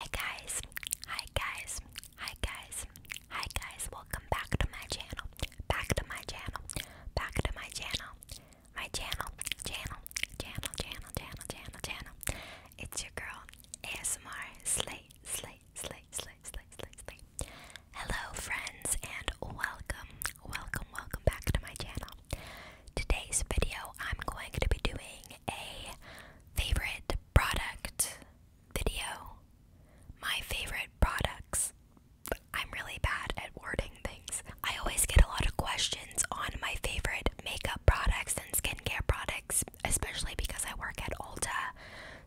Hi guys, hi guys, hi guys, hi guys, welcome back to my channel, back to my channel, back to my channel, my channel, channel, channel, channel, channel, channel, channel. It's your girl, ASMR Slay, Slay, Slay, Slay, Slay, Slay, Slay. Hello friends and welcome, welcome, welcome back to my channel. Today's video I'm going to be doing a favorite product video. My favorite products. I'm really bad at wording things. I always get a lot of questions on my favorite makeup products and skincare products, especially because I work at Ulta.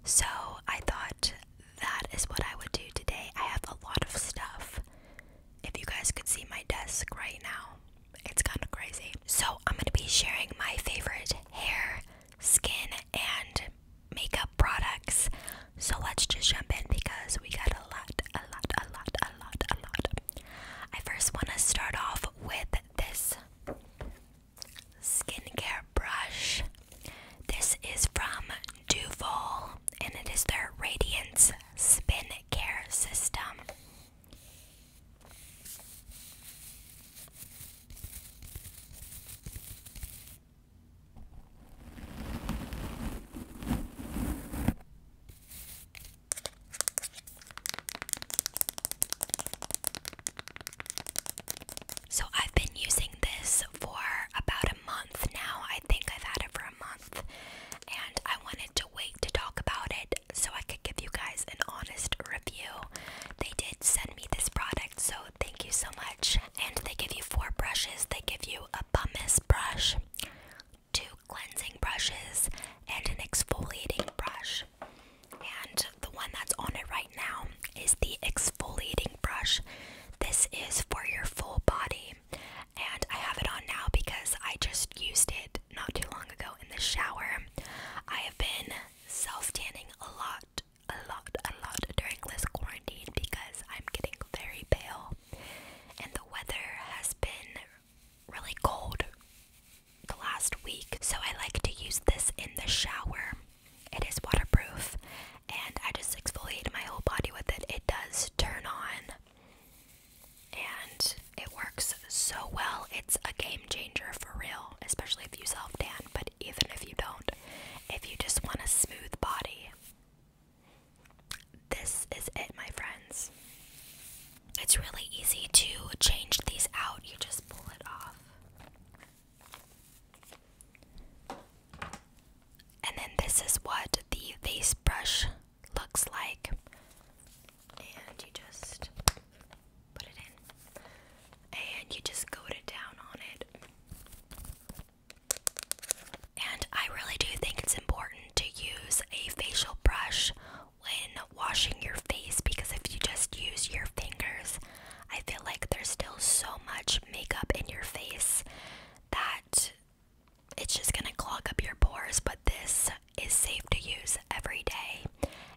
So I thought that is what I would do today. I have a lot of stuff. If you guys could see my desk right now, it's kind of crazy. So, I'm going to be sharing my favorite hair, skin, and makeup products. So, let's just jump in because we got a lot, a lot, a lot, a lot, a lot. I first want to start off with this skincare brush. This is from Duval and it is their Radiance Spin Care System. So, I've been using this for about a month now. I think I've had it for a month, and I wanted to wait to talk about it so I could give you guys an honest review. They did send me this product, so thank you so much. And they give you four brushes. They give you a pumice brush, two cleansing brushes, and an exfoliating brush. And the one that's on it right now is the exfoliating brush. This is for your full body. And I have it on now because I just used it not too long ago in the shower. I have been self tanning a lot, a lot, a lot during this quarantine because I'm getting very pale and the weather has been really cold the last week. So I like to use this in the shower. It is waterproof and I just exfoliate my whole body with it. It does turn on and it works so well. It's a game changer for real, especially if you self tan, but even if you don't, if you just want a smooth body, this is it, my friends. It's really easy to change these out, you just pull it off. And then this is what the face brush looks like and you just put it in and you just goad it down on it. And I really do think it's important to use a facial brush when washing your face because if you just use your fingers, I feel like there's still so much makeup in your face that it's just gonna clog up your pores. But this is safe to use every day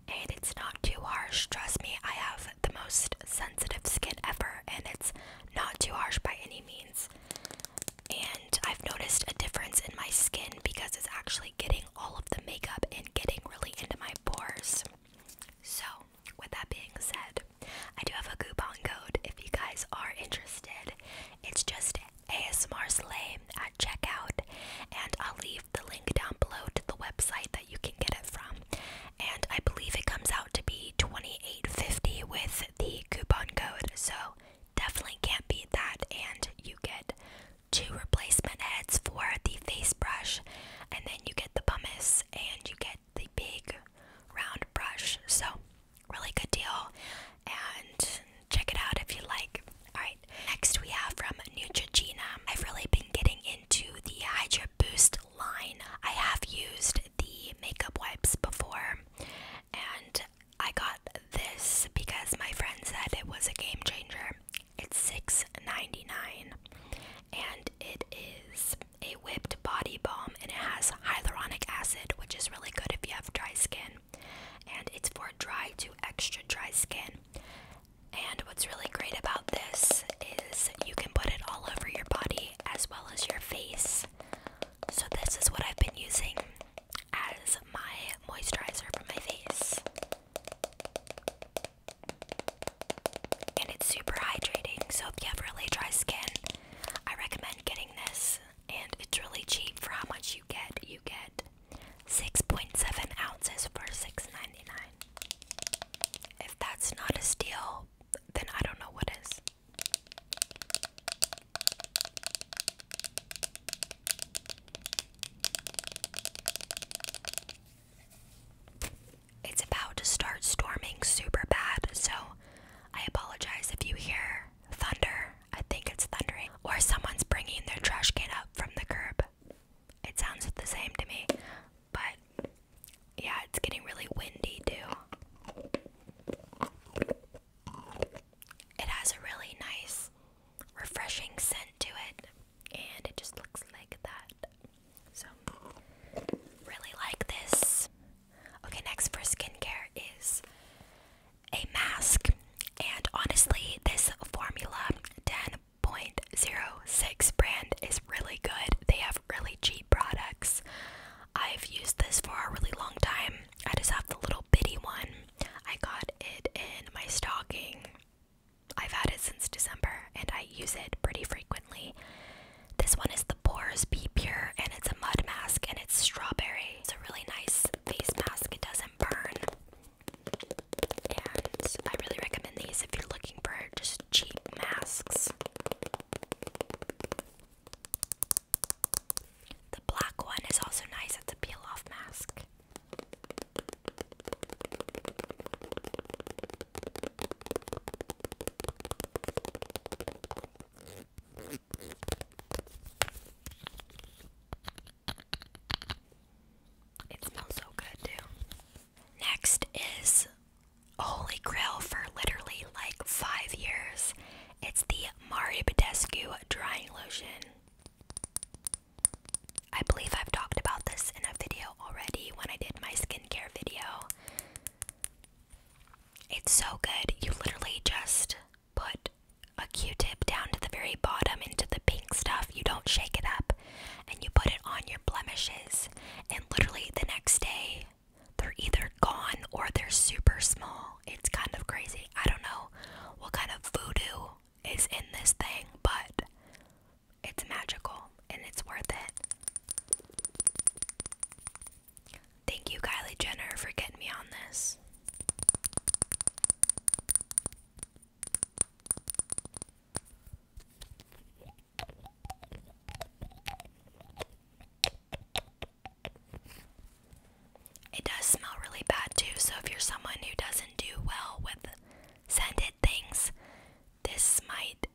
and it's not too harsh. Trust me, I have the most sensitive skin ever and it's not too harsh by any means. And I've noticed a difference in my skin because it's actually getting all of the makeup and getting really into my pores. So, with that being said, I do have a coupon code if you guys are interested. It's just ASMR Slay at checkout, and I'll leave the link down below to the website that you can get it from. And I believe it comes out to be $28.50 with the coupon code, so definitely can't beat that. And you get two replacement heads for the face brush, and then you get the pumice, and you get the big round brush. So, really good deal and check it out if you like. Alright, next we have from Neutrogena. I've really been getting into the Hydra Boost line. I have used the makeup wipes before, and I got this because my friend said it was a game changer. It's $6.99, and it is a whipped body balm, and it has hyaluronic acid, which is really good if you have dry skin and it's for dry to extra dry skin. And what's really great about this is you can put it all over your body as well as your face. So, this is what I've been using as my moisturizer for my face. And it's super hydrating, so if you have really dry skin, I recommend getting this. And it's really cheap for how much you get. You get 6.7 ounces for $6.99. If that's not a steal, then I don't know what is. It's about to start storming super bad, so I apologize if you hear thunder. I think it's thundering. Or someone's bringing their trash can up from the curb. It sounds the same to me. But yeah, it's getting really windy too. It has a really nice, refreshing scent to it. And it just looks like that. So, really like this. Okay, next for skincare is a mask. And honestly, this Formula 10.06 brand is really good. They have really cheap products. I've used this for a really long time. I just have the little bitty one. I got it in my stocking. I've had it since December and I use it pretty frequently. This one is the Pores Be Pure and it's a mud mask and it's strawberry. It's a really nice face mask. It doesn't burn. And I really recommend these if you're looking for just cheap masks. The black one is also nice, it's a peel off mask. It smells so good too. Next is Holy Grail for literally like five years. It's the Mari Badescu drying lotion. I believe I've talked about this in a video already when I did my skincare video. It's so good. You literally just put a q-tip down to the very bottom into the pink stuff you don't shake it up and you put it on your blemishes and literally the next day they're either gone or they're super small it's kind of crazy i don't know what kind of voodoo is in this thing but it's magical and it's worth it thank you kylie jenner for getting me on this it does smell really bad too, so if you're someone who doesn't do well with scented things, this might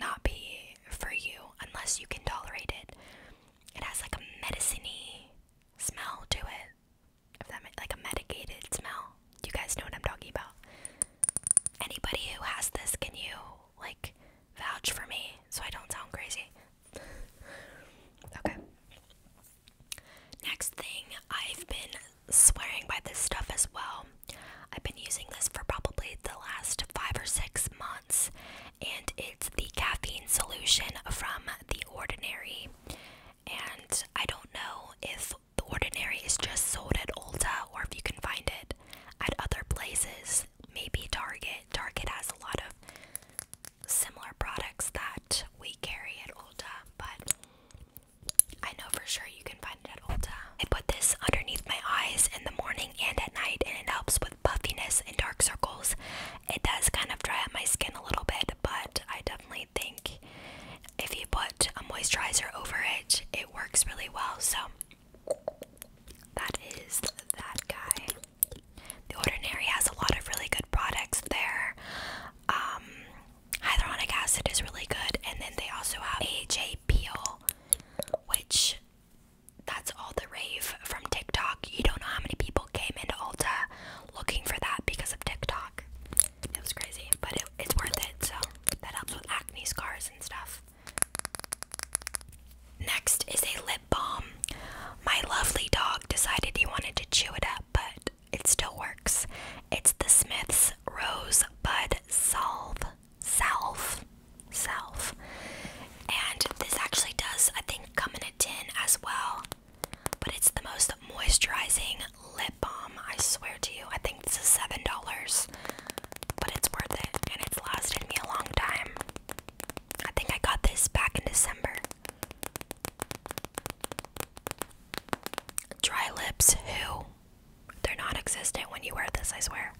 not be for you unless you can tolerate it. It has like a medicine smell to it that like a medicated smell. You guys know what I'm talking about. Anybody who has this, can you like vouch for me so I don't sound crazy? okay. Next thing, I've been swearing by this stuff as well. I've been using this for probably the last five or six months, and it's the caffeine solution from The Ordinary. And I don't know if The Ordinary is just sold at Ulta or if you can find it at other places, maybe Target. Target has a lot of similar products that we carry at Ulta, but I know for sure you can find it at Ulta. I put this underneath my eyes in the morning and at night, and it helps with puffiness and dark circles it does kind of dry out my skin a little bit, but I definitely think if you put a moisturizer over it, it works really well. So that is that guy. The Ordinary has a lot of really good products there. Um, hyaluronic acid is really good, and then they also have AHA peel, which that's all the rave from TikTok. You don't know how many people came into Ulta looking for that because of TikTok. It was crazy, but it's worth it. So that helps with acne scars and stuff. Next is a lip balm. My lovely dog decided he wanted to chew it up, but it still works. It's the Smith's Rosebud Bud Salve. Salve. Salve. And this actually does, I think, come in a tin as well. But it's the most moisturizing lip balm, I swear to you. I think this is $7, but it's worth it and it's lasted me a long time. I think I got this back in December. Dry lips, who? They're non existent when you wear this, I swear.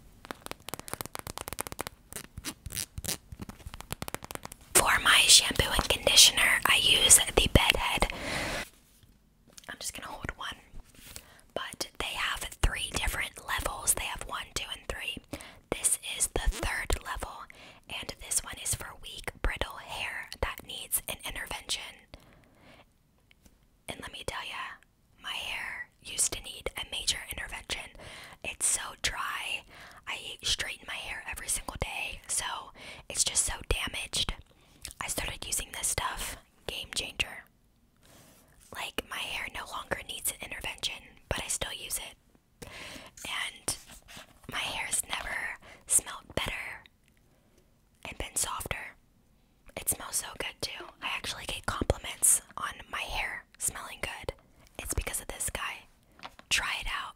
For my shampoo and conditioner, I use the Bed Head. I'm just gonna hold one. But they have three different levels. They have one, two, and three. This is the third level, and this one is for weak, brittle hair that needs an intervention. And let me tell you, my hair used to need a major intervention. It's so dry. I straighten my hair every single day, so it's just so damaged. I started using this stuff, game changer. Like, my hair no longer needs an intervention, but I still use it. And my hair's never smelled better and been softer. It smells so good too. I actually get compliments on my hair smelling good. It's because of this guy. Try it out.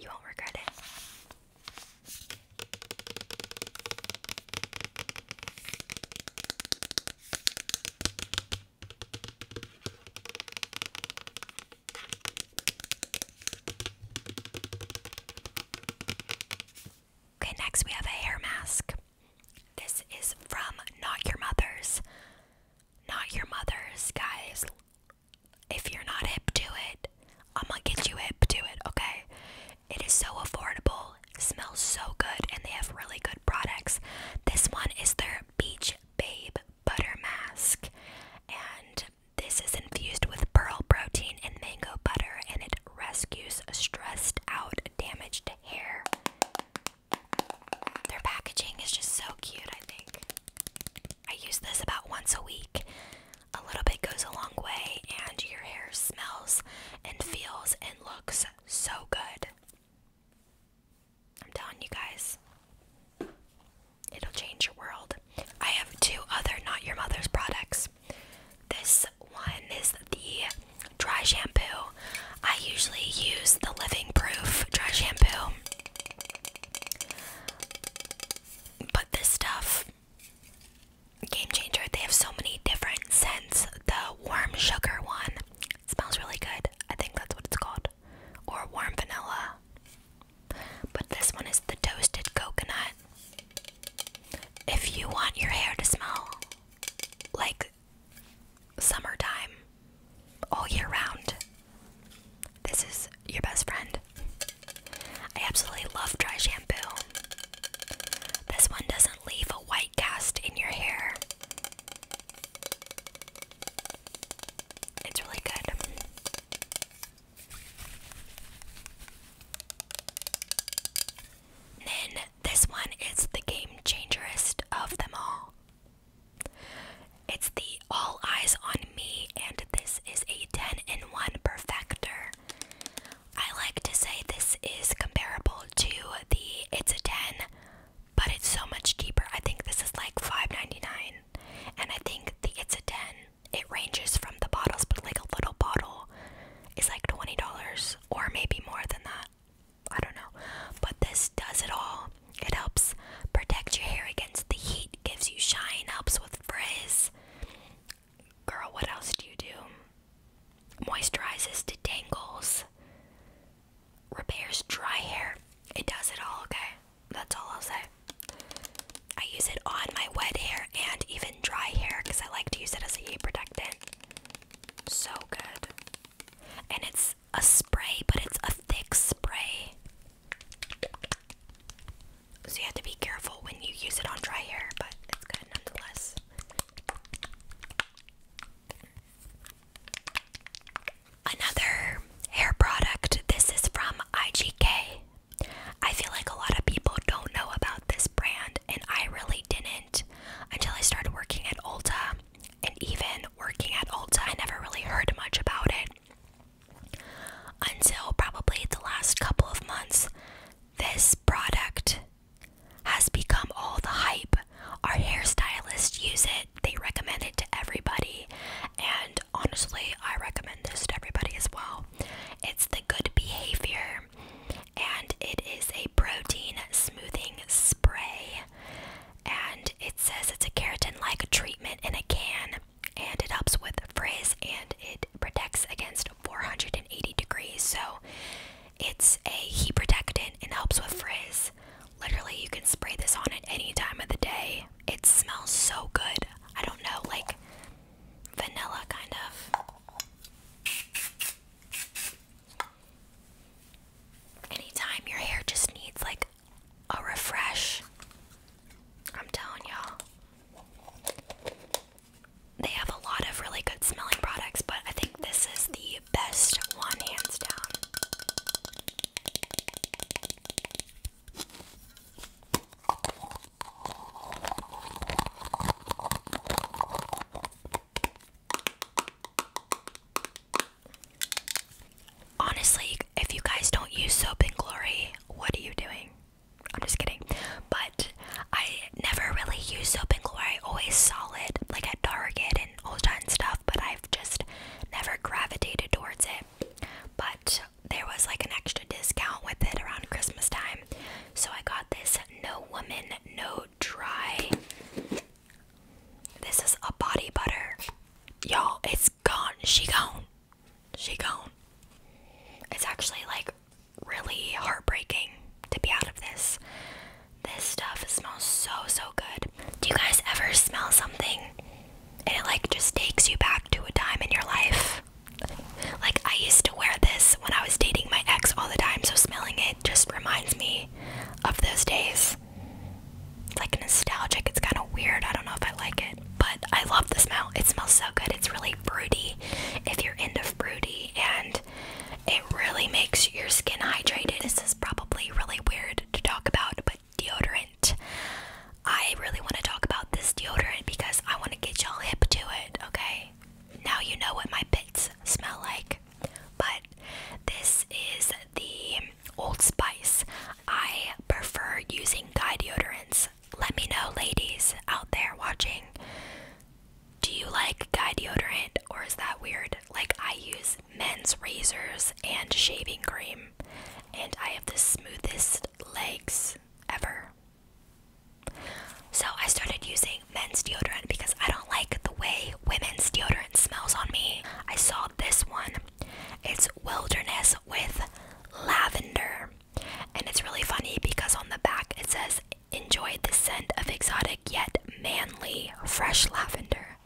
You won't regret it. Okay, next we have a hair mask. This is from Not Your Mother's. Not your mother's, guys. If you're not hip to it, I'm gonna get you hip to it, okay? It is so affordable, smells so good, and they have really good products. This one is their Beach Babe Butter Mask, and this is infused with pearl protein and mango butter, and it rescues stressed out, damaged hair. Their packaging is just so cute, I think. I use this about once a week. A little bit goes a long way, and your hair smells and feels and looks so good. I'm telling you guys, it'll change your world. I have two other Not Your Mother's products. This one is the dry shampoo. I usually use the Living Proof dry shampoo. But this stuff, game changer. They have so many different scents. The warm sugar one smells really good. I think that's what it's called, or warm vanilla. But this one is the toasted coconut. If you want your hair to smell like summertime all year round. This is your best friend. I absolutely love dry shampoo. This one doesn't leave a white cast in your hair. It's really good. then this one is the game changerest of them all. It's the All Eyes on Me, and this is a 10 in 1 perfector. I like to say this is comparable to the It's a 10, but it's so much cheaper. I think this is like $5.99, and I think the It's a 10, it ranges from the bottles, but like a little bottle is like $20 or maybe more than that. I don't know. But this does it all. It helps protect your hair against the heat, gives you shine, helps with frizz. Girl, what else do you do? Moisturizes detangles, repairs dry hair. It does it all, okay? That's all I'll say. I use it on my wet hair and even dry hair because I like to use it as a heat protectant. So good. And it's a spray, but it's a thick spray. So you have to be careful when you use it on dry hair, but it's good nonetheless. Another hair product. This is from IGK. I feel like a lot of people don't know about this brand, and I really didn't until I started working at Ulta. And even working at Ulta, I never really heard much about it until probably the last couple of months. This product has become all the hype. Our hairstylists use it, they recommend it to everybody, and honestly, I recommend this to everybody as well. It's the good behavior, and it is a protein smoothing spray and it says it's a keratin like treatment in a can and it helps with frizz and it protects against 480 degrees so it's a heat protectant and helps with frizz literally you can spray this on at any time of the day it smells so good i don't know like vanilla kind of anytime your hair just needs like a refresh, I'm telling y'all. They have a lot of really good smelling products, but I think this is the best one, hands down. Honestly, if you guys don't use Soap and Glory, what are you doing? I'm just kidding. But I never really use Soap and Glory. I always solid, like at Target and all kinds of stuff, but I've just never gravitated towards it. But there was like an extra discount with it around Christmas time. So I got this No Woman, No Try This is a body butter. Y'all, it's gone. She gone. She gone. It's actually like really heartbreaking to be out of this. This stuff smells so, so good. Do you guys ever smell something and it like just takes you back to a time in your life? Like, I used to wear this when I was dating my ex all the time, so smelling it just reminds me of those days. It's like nostalgic, it's kind of weird. I don't know if I like it, but I love the smell. It smells so good. It's really fruity if you're into fruity, and it really makes your skin hydrated. This is probably really weird to talk about, but deodorant. I really want to talk about this deodorant because I want to get y'all hip to it, okay? Now you know what my pits smell like. But this is the Old Spice. I prefer using guy deodorants. Let me know, ladies out there watching, do you like guy deodorant or is that weird? Like, I use men's razors and shaving cream, and I have the smoothest legs ever. So, I started using men's deodorant because I don't do like the way women's deodorant smells on me. I saw this one. It's Wilderness with Lavender. And it's really funny because on the back it says, Enjoy the scent of exotic yet manly fresh lavender.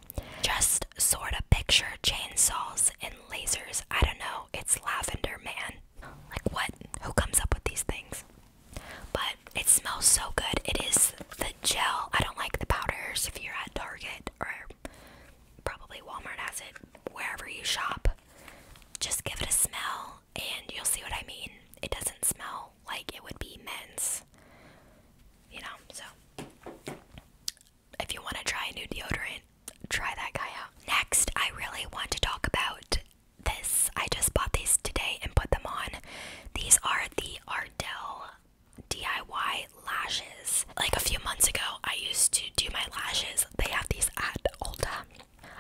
Just sort of picture chainsaws and lasers. I don't know, it's lavender, man. Like, what? Who comes up with these things? But it smells so good. It is the gel. I don't like the powders. If you're at Target or probably Walmart has it, wherever you shop, just give it a smell and you'll see what I mean. It doesn't smell like it would be men's, you know. So, if you want to try a new deodorant, try that guy out. Next, I really want to talk about this. I just bought these today and put them on. These are the Ardell DIY lashes. Like a few months ago, I used to do my lashes. They have these at Ulta.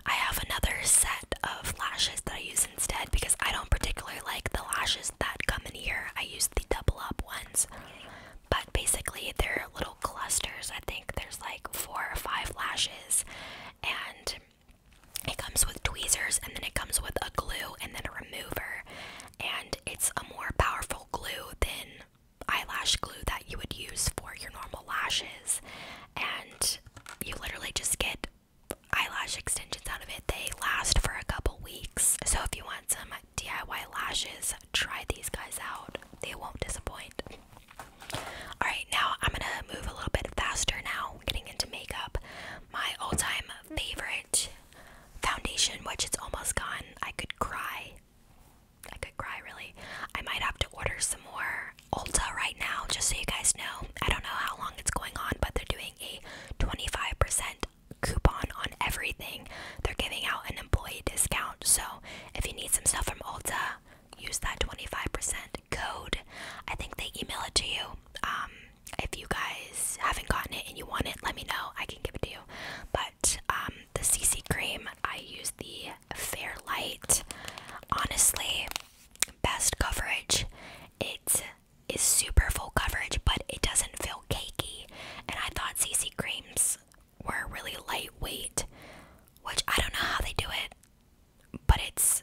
I have another set of lashes that I use instead because I don't particularly like the lashes that come in here. I use the double up ones. But basically, they're little clusters. I think there's like four or five lashes, and it comes with tweezers and then it comes with a glue and then a remover. And it's a more powerful glue than eyelash glue that you would use for your normal lashes. And you literally just get eyelash extensions out of it. They last for a couple weeks. So if you want some DIY lashes, try these guys out. They won't disappoint. Alright, now I'm gonna move a little bit faster now. Getting into makeup. My all time favorite foundation, which it's almost gone. I could cry. I could cry really. I might have to order some more Ulta right now, just so you guys know. I don't know how long it's going on, but they're doing a 25% coupon on everything. They're giving out an employee discount. So if you need some stuff from Ulta, use that 25% code. I think they email it to you. Um, if you guys haven't gotten it and you want it, let me know. I can give it to you. But um, the CC cream, I use the Fair Light. Honestly, best coverage. It is super full coverage, but it doesn't feel cakey. And I thought CC creams were really lightweight, which I don't know how they do it, but it's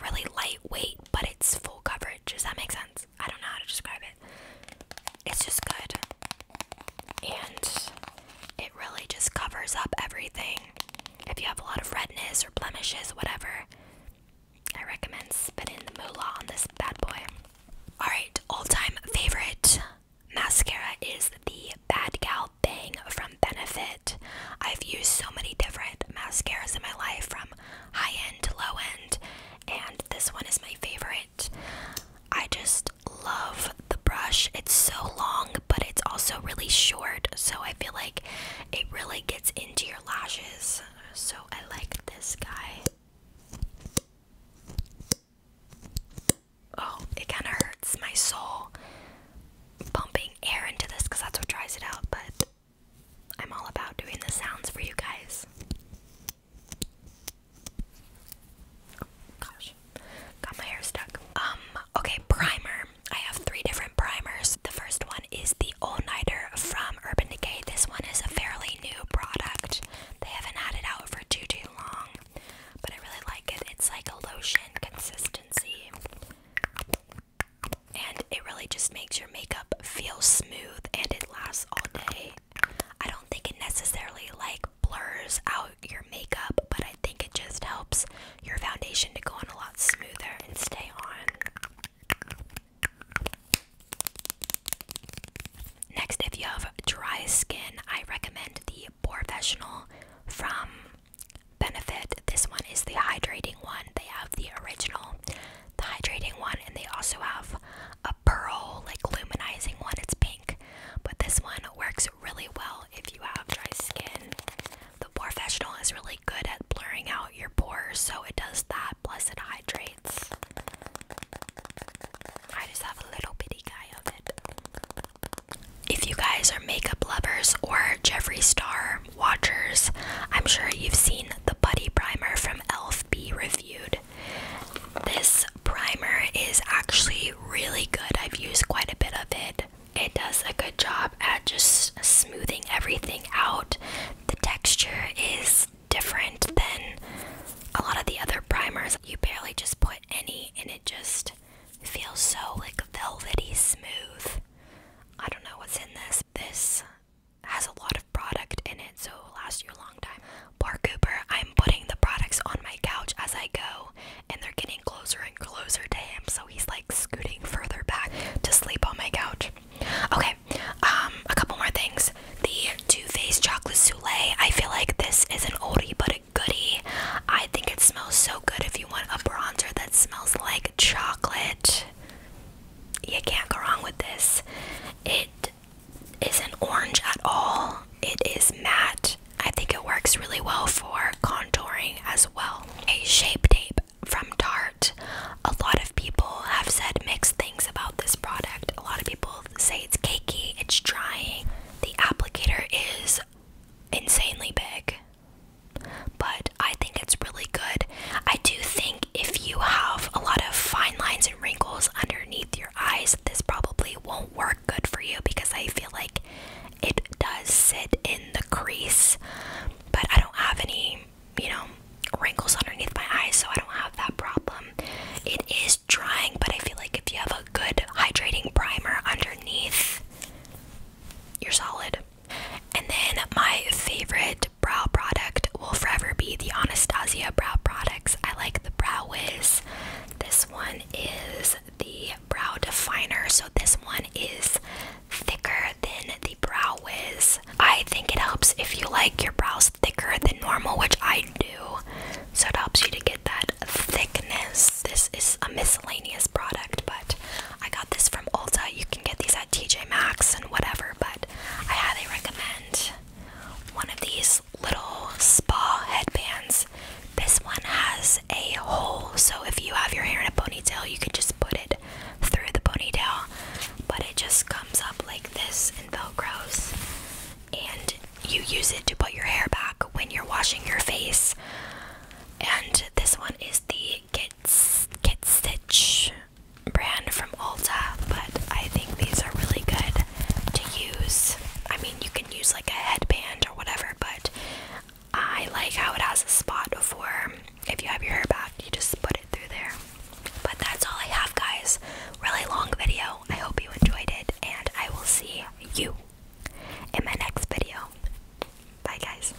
really lightweight, but it's full coverage. Does that make sense? I don't know how to describe it. It's just good. And it really just covers up everything. If you have a lot of redness or blemishes, whatever, I recommend spitting the moolah on this bad boy. Alright, all time favorite mascara is the Bad Gal Bang from Benefit. I've used so many different mascaras in my life from high end low end, and this one is my favorite. I just love the brush. It's so long, but it's also really short, so I feel like it really gets into your lashes. So I like this guy. Oh, it kind of hurts my soul pumping air into this because that's what dries it out, but I'm all about doing the sounds for you guys. gosh, got my hair stuck. Um, okay, primer. I have three different primers. The first one is the All Nighter from Urban Decay. This one is a fairly new product. They haven't had it out for too too long, but I really like it. It's like a lotion consistency and it really just makes your makeup feel smooth and it lasts all day. I don't think it necessarily like blurs out your makeup, but I think it just helps your foundation to go on a lot smoother and stay on. Next, if you have dry skin, I recommend the Professional from Benefit. This one is the hydrating one. They have the original the hydrating one, and they also have a pearl, like luminizing one. It's pink, but this one works really well if you have dry skin. The pore professional is really good at blurring out your pores, so it does that. Plus, it hydrates. I just have a little bitty guy of it. If you guys are makeup lovers or Jeffree Star, watchers, I'm sure you've seen the Buddy Primer from e.l.f. be reviewed. This primer is actually really good, I've used quite a bit of it. It does a good job at just smoothing everything out. The texture is different than a lot of the other primers. You barely just put any, and it just feels so like velvety smooth. I don't know what's in this. This has a lot of product in it, so it'll last you a long time. Bar Cooper, I'm putting the products on my couch as I go, and they're getting closer and closer to him, so he's like scooting further back to sleep on my couch. Okay, um, a couple more things. The Too Faced Chocolate Soule. I feel like this is an oldie but a goodie. I think it smells so good if you want a bronzer that smells like chocolate you can't go wrong with this. It isn't orange at all, it is matte. I think it works really well for contouring as well. A shape tape from Tarte. A lot of people have said mixed things about this product. A lot of people say it's cakey, it's drying. The applicator is insanely big but I think it's really good. I do think if you have a lot of fine lines and wrinkles underneath your eyes, this probably won't work good for you because I feel like it does sit in the crease. But I don't have any, you know, wrinkles underneath my eyes, so I don't have that problem. It is drying, but I feel like if you have a good hydrating primer underneath, you're solid. And then my favorite brow product will forever be the Anastasia brow products. I like the Brow Wiz. This one is the Brow Definer. So this one is thicker than the Brow Wiz. I think it helps if you like your brows thicker than normal, which I do. So it helps you to get that thickness. This is a miscellaneous product, but I got this from Ulta. You can get these at TJ Maxx and whatever, but I highly recommend one of these little spa headbands. This one has a hole, so if you have your hair in a ponytail, you can just put it through the ponytail, but it just comes up like this and velcros, and you use it to put your hair back when you're washing your face. And this one is the Kit Stitch brand from Ulta, but I think these are really good to use. I mean, you can use like a headband or whatever, but I like how it has a spot for if you have your hair back, you just put it through there. But that's all I have, guys. Really long video. I hope you enjoyed it, and I will see you in my next video. Bye, guys.